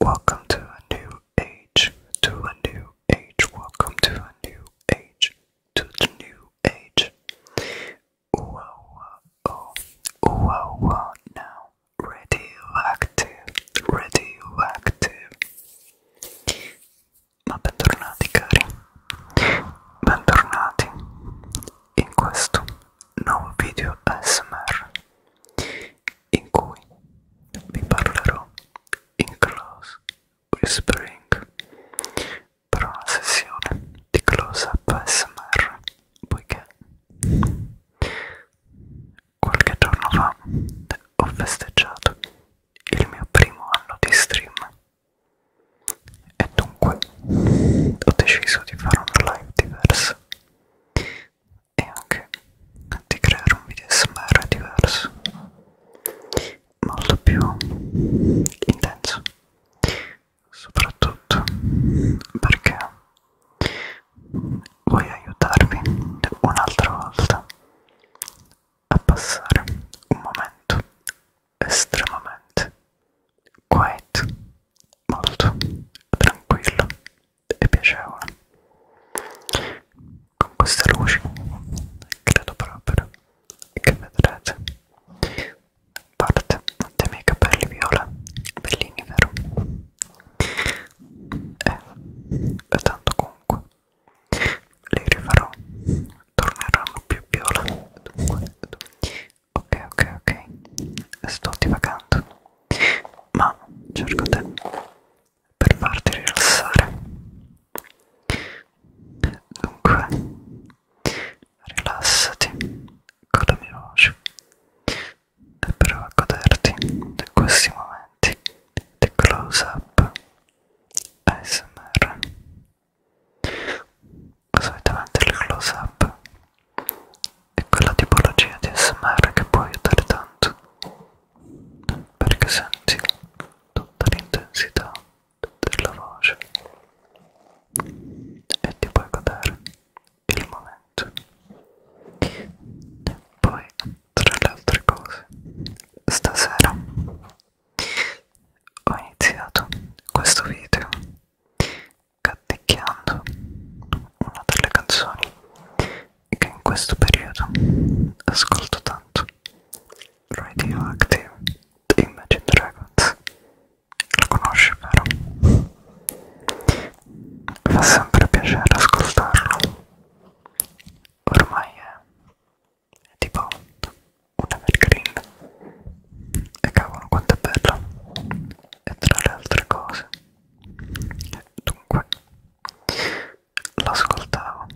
Welcome to a new age, to a new age, welcome to a new age, to the new age. Ooh, ooh, ooh, ooh, now radioactive, radioactive. Ma bentornati cari, bentornati in questo nuovo video ASMR. in cui vi parlerò in close whispering per una sessione di close up ASMR poiché qualche giorno fa ho festeggiato il mio primo anno di stream e dunque ho deciso di fare una live diversa e anche di creare un video smr diverso molto più intenso soprattutto perché voglio aiutarvi un'altra volta a passare un momento estremamente quiet molto tranquillo e piacevole con queste luci credo proprio che vedrete parte dei miei capelli viola bellini vero e, e tanto comunque li rifarò torneranno più viola dunque ok ok ok sto divagando ma cerco te per farti rilassare dunque rilassati con la mia voce e prova a goderti di questi momenti di close up ASMR solitamente il close up è quella tipologia di smr che può aiutare tanto perché senti tutta l'intensità della voce e ti puoi godere il momento e poi tra le altre cose stasera ho iniziato questo video Cattecchiando, una delle canzoni che in questo periodo ascolto tanto, Radioactive di Imagine Dragons. Lo conosci, vero? Fa sempre piacere ascoltarlo. Ormai è, è tipo un evergreen. E cavolo, quanto è bello! E tra le altre cose Dunque, l'ascoltavo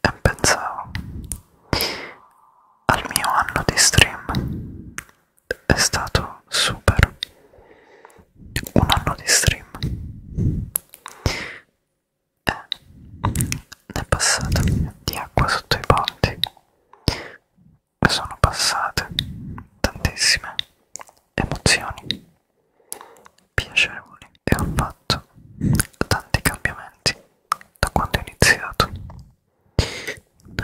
e pensavo al mio anno di stream. È stato super. Un anno di stream. E ne è passato di acqua sotto i ponti sono passate tantissime emozioni piacevoli e ho fatto tanti cambiamenti da quando ho iniziato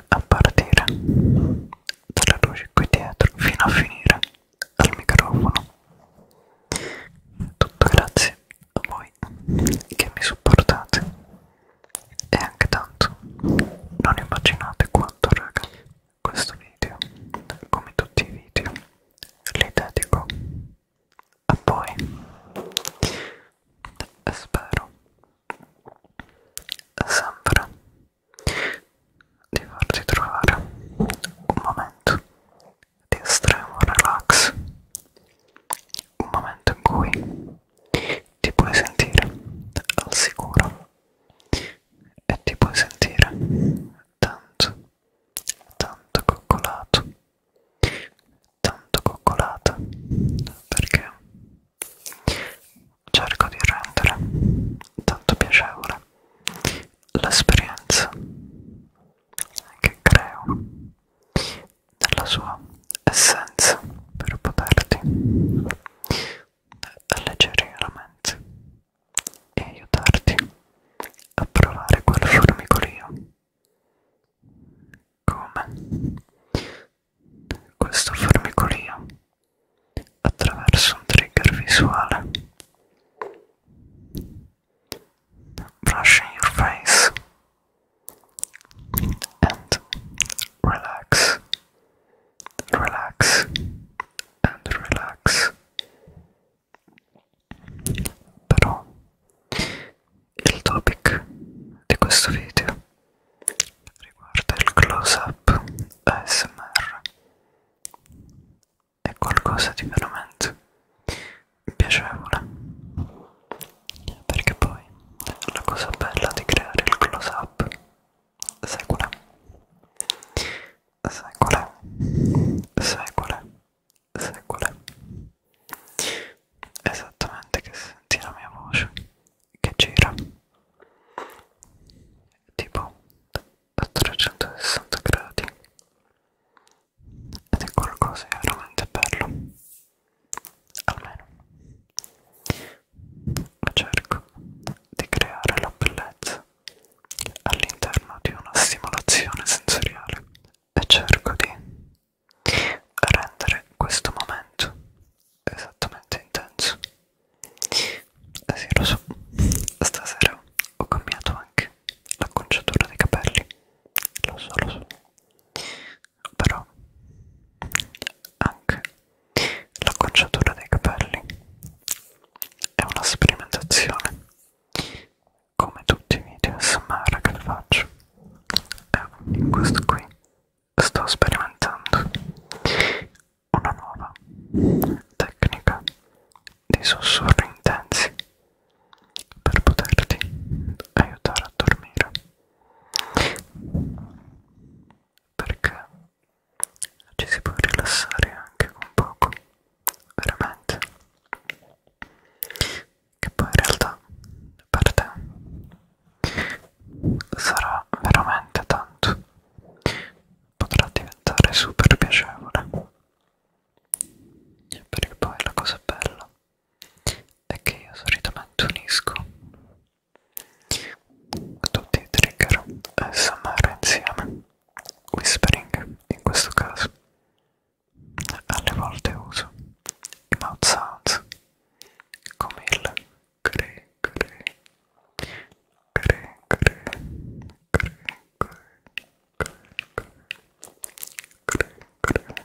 a partire dalle luci qui dietro fino a finire al microfono tutto grazie a voi che mi supportate e anche tanto non immaginate quanto raga questo video come tutti i video li dedico a voi e spero sempre di farti trovare un momento di estremo relax un momento in cui ti puoi sentire al sicuro e ti puoi sentire tanto, tanto coccolato, tanto coccolata perché cerco di rendere tanto piacevole l'esperienza che creo nella sua essenza per poterti alleggerire la mente e aiutarti a provare quel formicolio come questo formicolio attraverso un trigger visuale brush in your face and relax relax and relax però il topic di questo video riguarda il close up ASMR è qualcosa di veramente piacevole perché poi la cosa bella di creare il close up secole, secole, secole, secole. Esattamente che senti la mia voce che gira tipo a 360 gradi ed è qualcosa di veramente bello almeno cerco di creare la bellezza all'interno di una stimolazione sensoriale e cerco di rendere questo momento esattamente intenso eh sì lo so stasera ho cambiato anche l'acconciatura dei capelli lo so lo so però anche l'acconciatura dei capelli è una sperimentazione come tutti i video smara che faccio e questo qui sto sperimentando una nuova tecnica di sussurri intensi per poterti aiutare a dormire perché ci si può rilassare anche con poco, veramente. Che poi in realtà per te sarà veramente tanto, potrà diventare super piacevole. Perché poi la cosa bella è che io solitamente unisco tutti i trigger SMR insieme whispering in questo caso alle volte uso i mouth sounds come il cre cre cre cre cre cre cre cre cre cre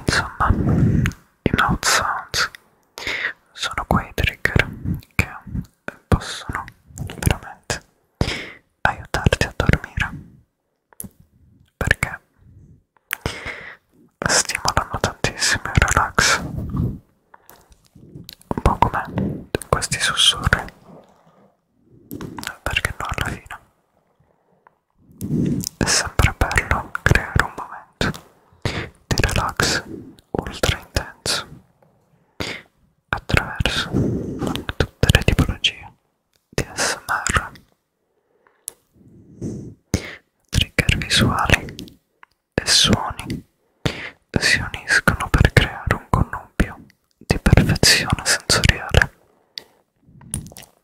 Insomma, i mouth sounds sono quei trigger che possono veramente aiutarti a dormire perché stimolano tantissimo il relax, un po' come questi sussurri perché no alla fine è sempre bello creare un momento di relax ultra intenso attraverso tutte le tipologie di ASMR trigger visuali e suoni si uniscono per creare un connubio di perfezione sensoriale.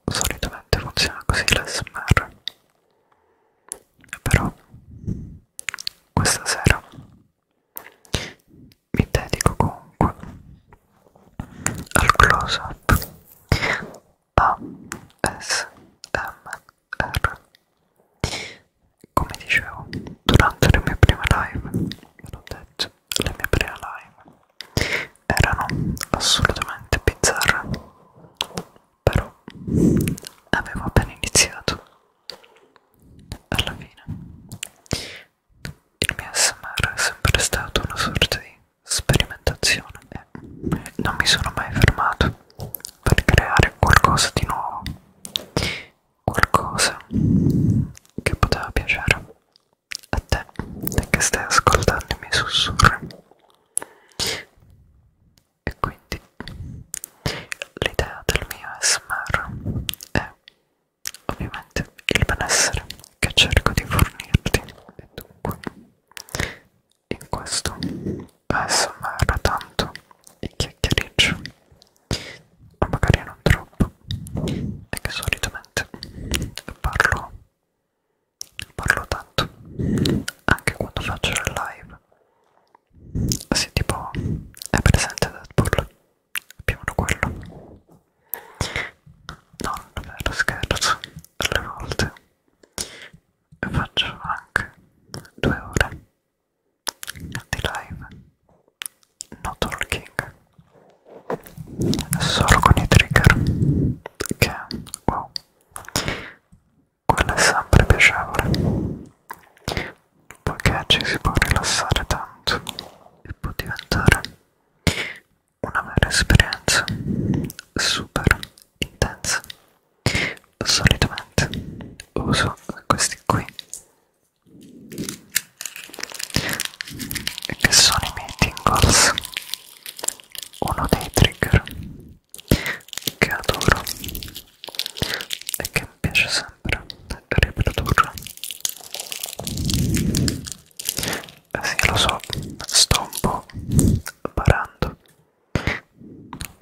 Solitamente funziona così l'SMR, però questa sera mi dedico comunque al close up ASMR come dicevo durante le mie prime live ve l'ho detto le mie prime live erano assolutamente bizzarre però avevo appena iniziato alla fine il mio smr è sempre stato una sorta di sperimentazione e non mi sono mai fermato per creare qualcosa di nuovo qualcosa che poteva piacere a te e che stai ascoltando i miei sussurri e quindi l'idea del mio SMR è ovviamente il benessere che cerco di fornirti e dunque in questo ASMR tanto il chiacchiericcio magari non troppo è che solitamente parlo parlo tanto anche quando faccio il live sì tipo è presente Deadpool più o meno quello non vero scherzo alle volte faccio anche due ore di live no talking solo con i trigger che wow quello è sempre piacevole poiché ci si può rilassare tanto e può diventare una vera esperienza super intensa solitamente uso questi qui e che sono i miei tingles uno dei trigger che adoro e che mi piace sempre riprodurre eh sì lo so sto un po' barando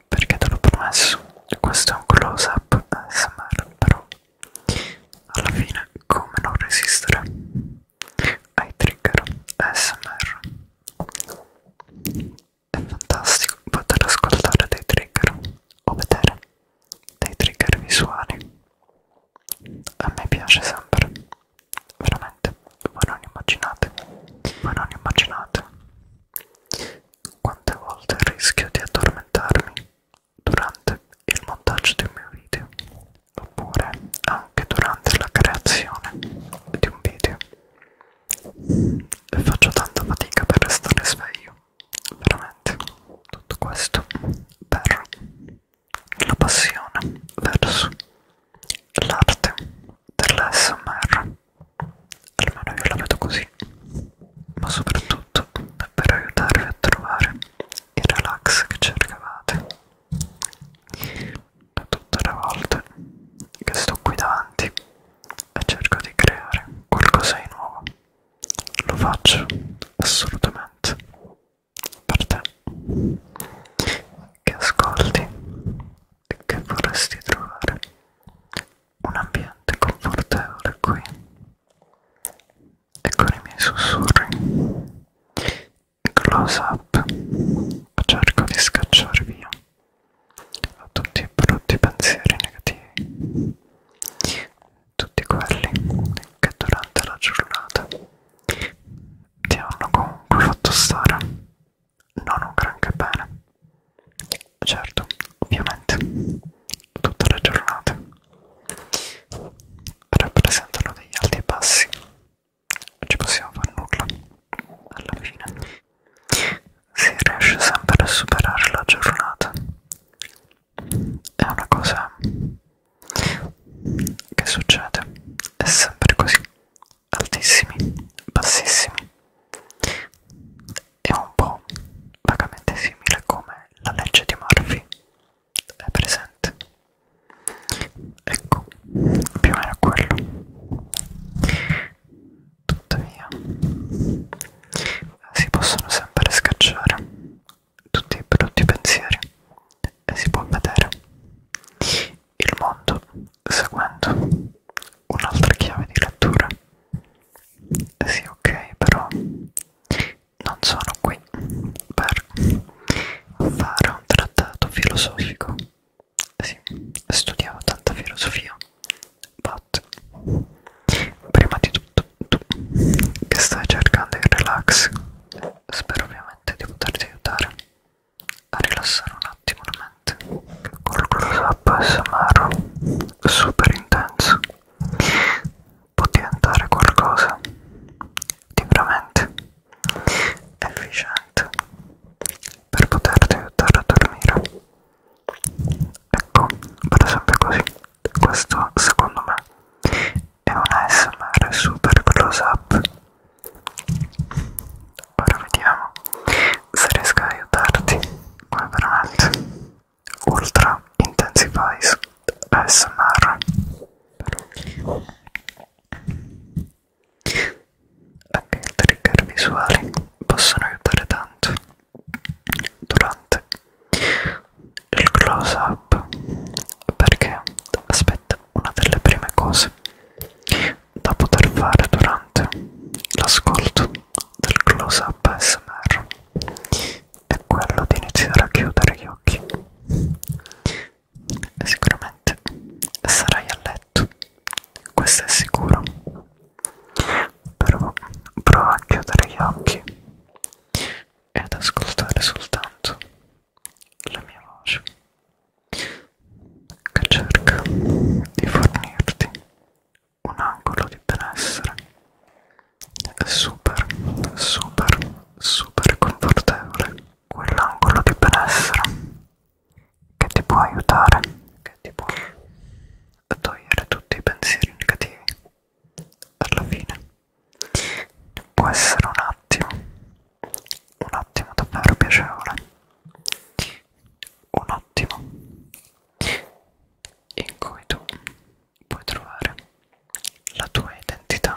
perché te l'ho promesso questo è un close up ASMR però alla fine come non resistere ai trigger ASMR è fantastico poter ascoltare dei trigger o vedere dei trigger visuali a me piace sempre veramente voi non immaginate voi non immaginate quante volte rischio di addormentarmi durante il montaggio di un mio video oppure anche durante la creazione di un video e faccio tanta fatica per restare sveglio veramente tutto questo per la passione verso l'arte dell'SMR almeno io la vedo così, ma soprattutto per aiutarvi a trovare il relax che cercavate. Tutte le volte che sto qui davanti e cerco di creare qualcosa di nuovo, lo faccio assolutamente per te che ascolti che vorresti trovare un ambiente confortevole qui e con i miei sussurri close up cerco di scacciare via a tutti i brutti pensieri negativi tutti quelli che durante la giornata ti hanno comunque fatto stare non un granché bene certo, ovviamente, tutte le giornate rappresentano degli alti e bassi, non ci possiamo fare nulla alla fine. Si riesce sempre a superare la giornata, è una cosa che succede, è sempre così, altissimi, bassissimi è un po' vagamente simile come la legge di Murphy è presente ecco più o meno quello tuttavia si possono sempre scacciare tutti i brutti pensieri e si può vedere il mondo seguendo un'altra chiave di lettura sì ok però non sono qui per fare un trattato filosofico sì studiavo tanta filosofia but prima di tutto tu che stai cercando il relax spero ovviamente di poterti aiutare a rilassare un attimo la veramente col close up ASMR super intenso può diventare qualcosa di veramente efficiente per poterti aiutare a dormire ecco per esempio così questo secondo me è un ASMR super close up ora vediamo se riesco a aiutarti come veramente Ultra Intensifies ASMR anche i trigger visuali possono aiutare tanto durante il close up perché aspetta una delle prime cose da poter fare durante l'ascolto del close-up ASMR è quello di iniziare a chiudere gli occhi e sicuramente sarai a letto, questo è sicuro però prova a chiudere gli occhi e ad ascoltare soltanto la mia voce che cerca di fornirti un angolo di benessere super super super confortevole quell'angolo di benessere che ti può aiutare che ti può togliere tutti i pensieri negativi alla fine può essere un attimo un attimo davvero piacevole un ottimo in cui tu puoi trovare la tua identità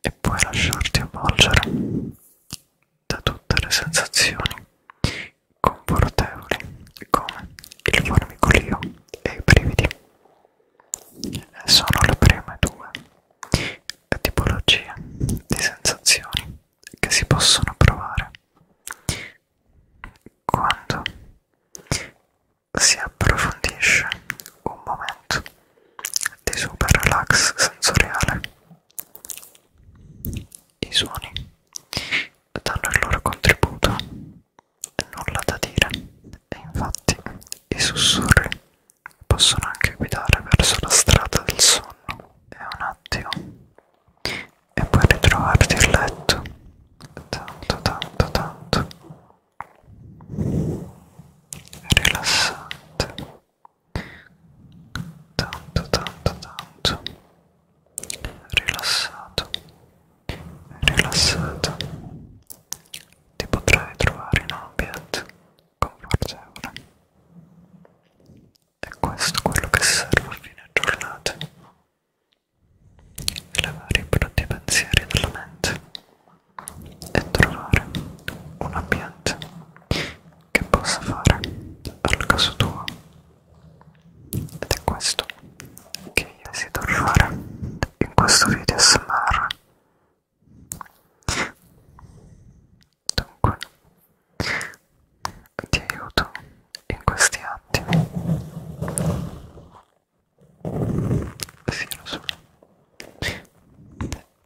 e puoi lasciarti avvolgere da tutte le sensazioni confortevoli come il formicolio e i brividi sono le prime due tipologie di sensazioni che si possono provare quando si approfondisce un momento di super relax sensoriale. I suoni danno il loro contributo, nulla da dire, e infatti i sussurri possono anche guidare verso la strada del sonno. È un attimo e poi ritrovarti il letto tanto tanto tanto rilassante tanto tanto tanto rilassato rilassato ti potrai trovare in un ambiente confortevole è questo quello che serve a fine giornata elevare i brutti pensieri dalla mente e trovare un ambiente che possa fare al caso tuo ed è questo che io desidero fare in questo video smr dunque ti aiuto in questi attimi. Sì, lo so.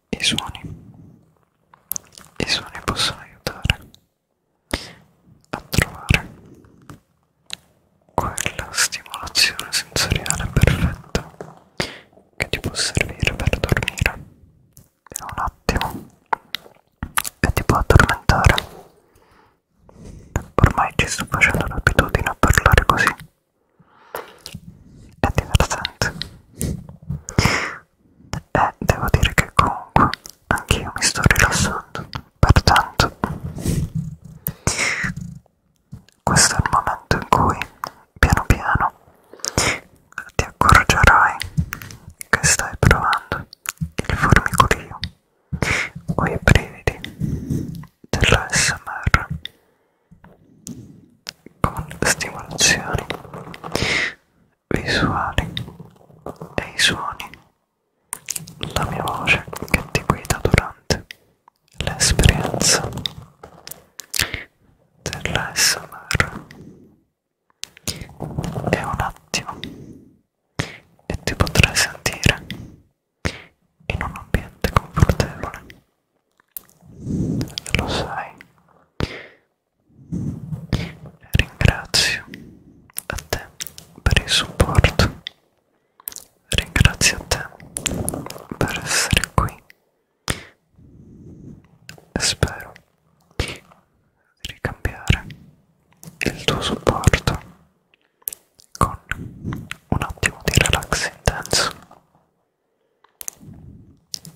I suoni. I suoni possono aiutare a trovare quella stimolazione sensoriale perfetta che ti può servire per dormire per un attimo e ti può addormentare ormai ci sto facendo l'abitudine a parlare così è divertente e devo dire che comunque anch'io mi sto rilassando pertanto questo è il momento in cui piano piano ti accorgerai che stai provando il formicolio o i brividi dell'ASMR con stimolazioni visuali e i suoni la mia voce che ti guida durante l'esperienza dell'ASMR è un attimo e ti potrai sentire in un ambiente confortevole lo sai ringrazio a te per il supporto ringrazio a te per essere qui spero di ricambiare il tuo supporto con un attimo di relax intenso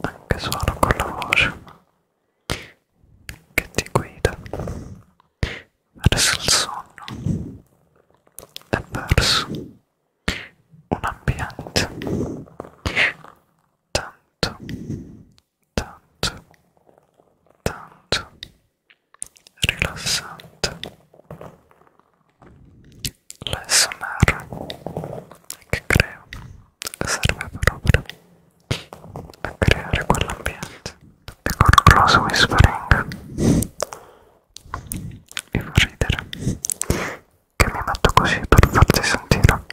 anche solo con la voce che ti guida verso il sonno e verso un ambiente tanto, tanto, tanto rilassante. L'SMR che creo serve proprio a creare quell'ambiente e con un grosso whispering mi fa ridere che mi metto così per farti sentire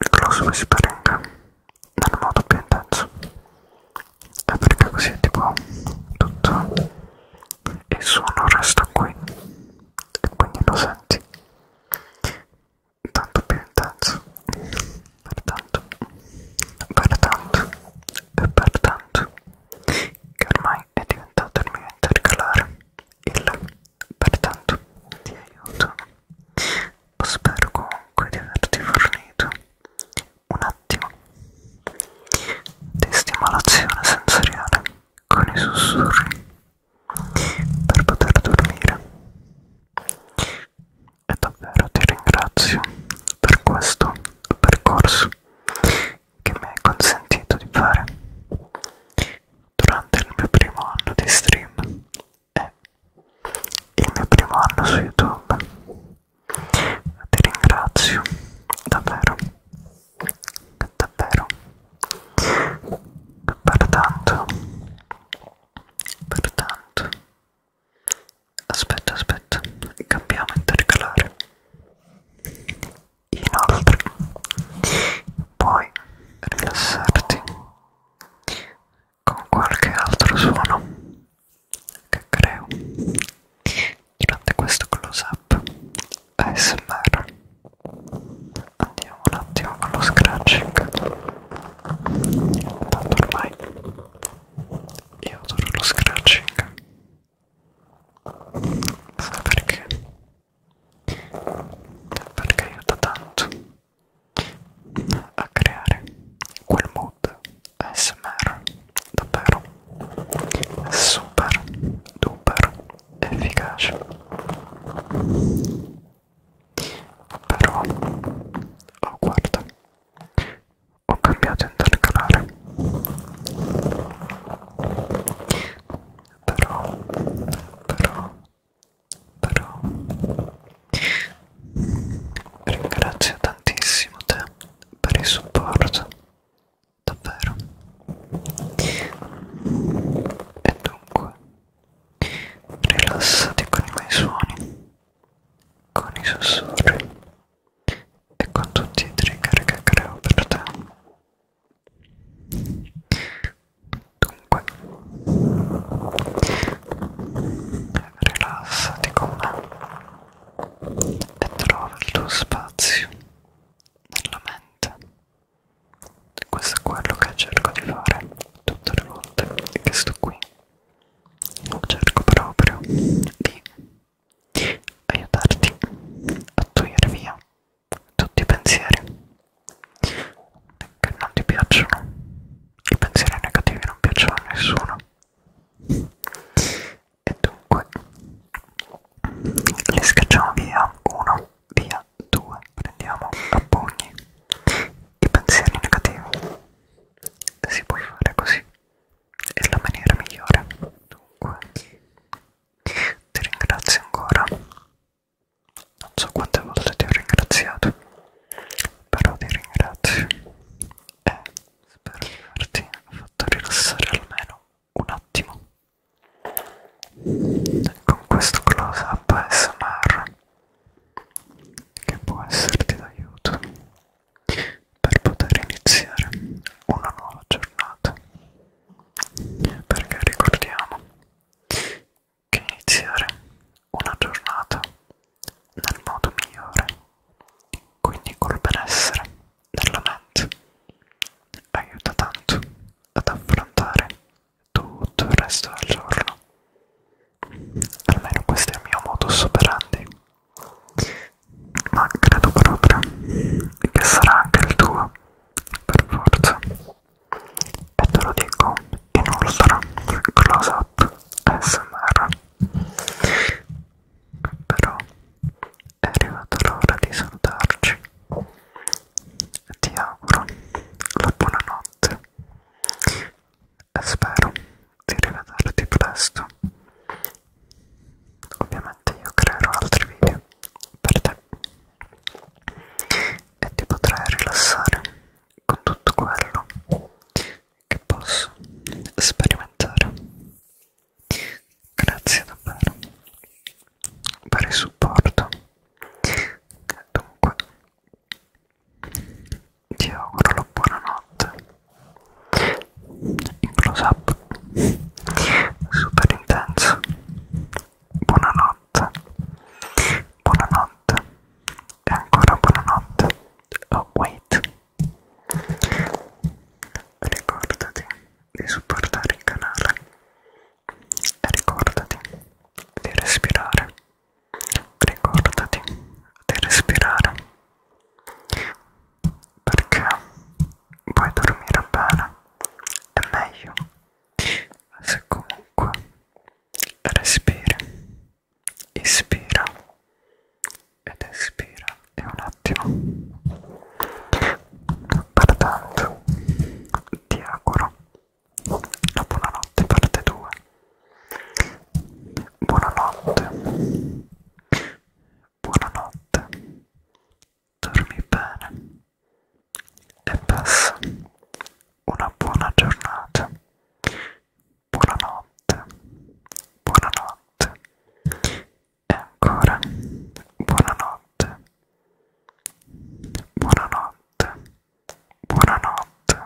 il close whispering nel modo più intenso e perché così tipo tutto il suono resta qui e quindi lo senti tanto più intenso pertanto pertanto e pertanto che ormai è diventato il mio intercalare il pertanto ti aiuto. Spero comunque di averti fornito un attimo di stimolazione sensoriale con i sussurri per poter dormire. E davvero ti ringrazio per questo percorso che mi hai consentito di fare durante il mio primo anno di stream e il mio primo anno su YouTube. Ti ringrazio davvero, davvero, per tanto, per tanto. Aspetta, aspetta, cambiamo intercalare inoltre puoi rilassarti con qualche altro suono che creo durante questo close up ASMR andiamo un attimo con lo scratching tanto ormai io adoro lo scratching sai perché? perché aiuta tanto a creare quel mood ASMR davvero super duper efficace però oh guarda ho cambiato intercalare però però però ringrazio tantissimo te per il supporto davvero e dunque rilassati con i miei suoni con i sussurri e con tutti i trigger che creo per te Dunque, rilassati con me e trova il tuo spazio nella mente. Questo è quello che cerco di fare tutte le volte che sto qui. Cerco proprio di aiutarti a tuire via tutti i pensieri che non ti piacciono. I pensieri negativi non piacciono a nessuno. E dunque li scacciamo via uno, via due, prendiamo a pugni i pensieri negativi. Si può fare così, è la maniera migliore. Dunque, ti ringrazio ancora non so quante volte ti ho ringraziato però ti ringrazio e spero di averti fatto rilassare almeno un attimo con questo close up ASMR che può esserti d'aiuto per poter iniziare una nuova giornata perché ricordiamo che iniziare una giornata nel modo migliore, quindi col benessere nella mente, aiuta tanto ad affrontare tutto il resto del giorno. Almeno questo è il mio modus operandi, ma credo proprio che sarà anche il tuo per forza e te lo dico in ultra close up smr però è arrivata l'ora di salutarci e ti auguro la buonanotte e spero di rivederti presto ovviamente avanti io creerò altri video per te e ti potrai rilassare con tutto quello che posso sperimentare grazie davvero per il supporto dunque ti auguro la buonanotte in close up super intenso buonanotte buonanotte e ancora buonanotte oh wait ricordati di supportare il canale e ricordati di respirare ricordati di respirare perché vuoi dormire bene è meglio se comunque respiri ispira ed espira e un attimo pertanto ti auguro la buonanotte parte 2 buonanotte buonanotte dormi bene e passa una buona giornata. Buonanotte, buonanotte e ancora buonanotte, buonanotte, buonanotte.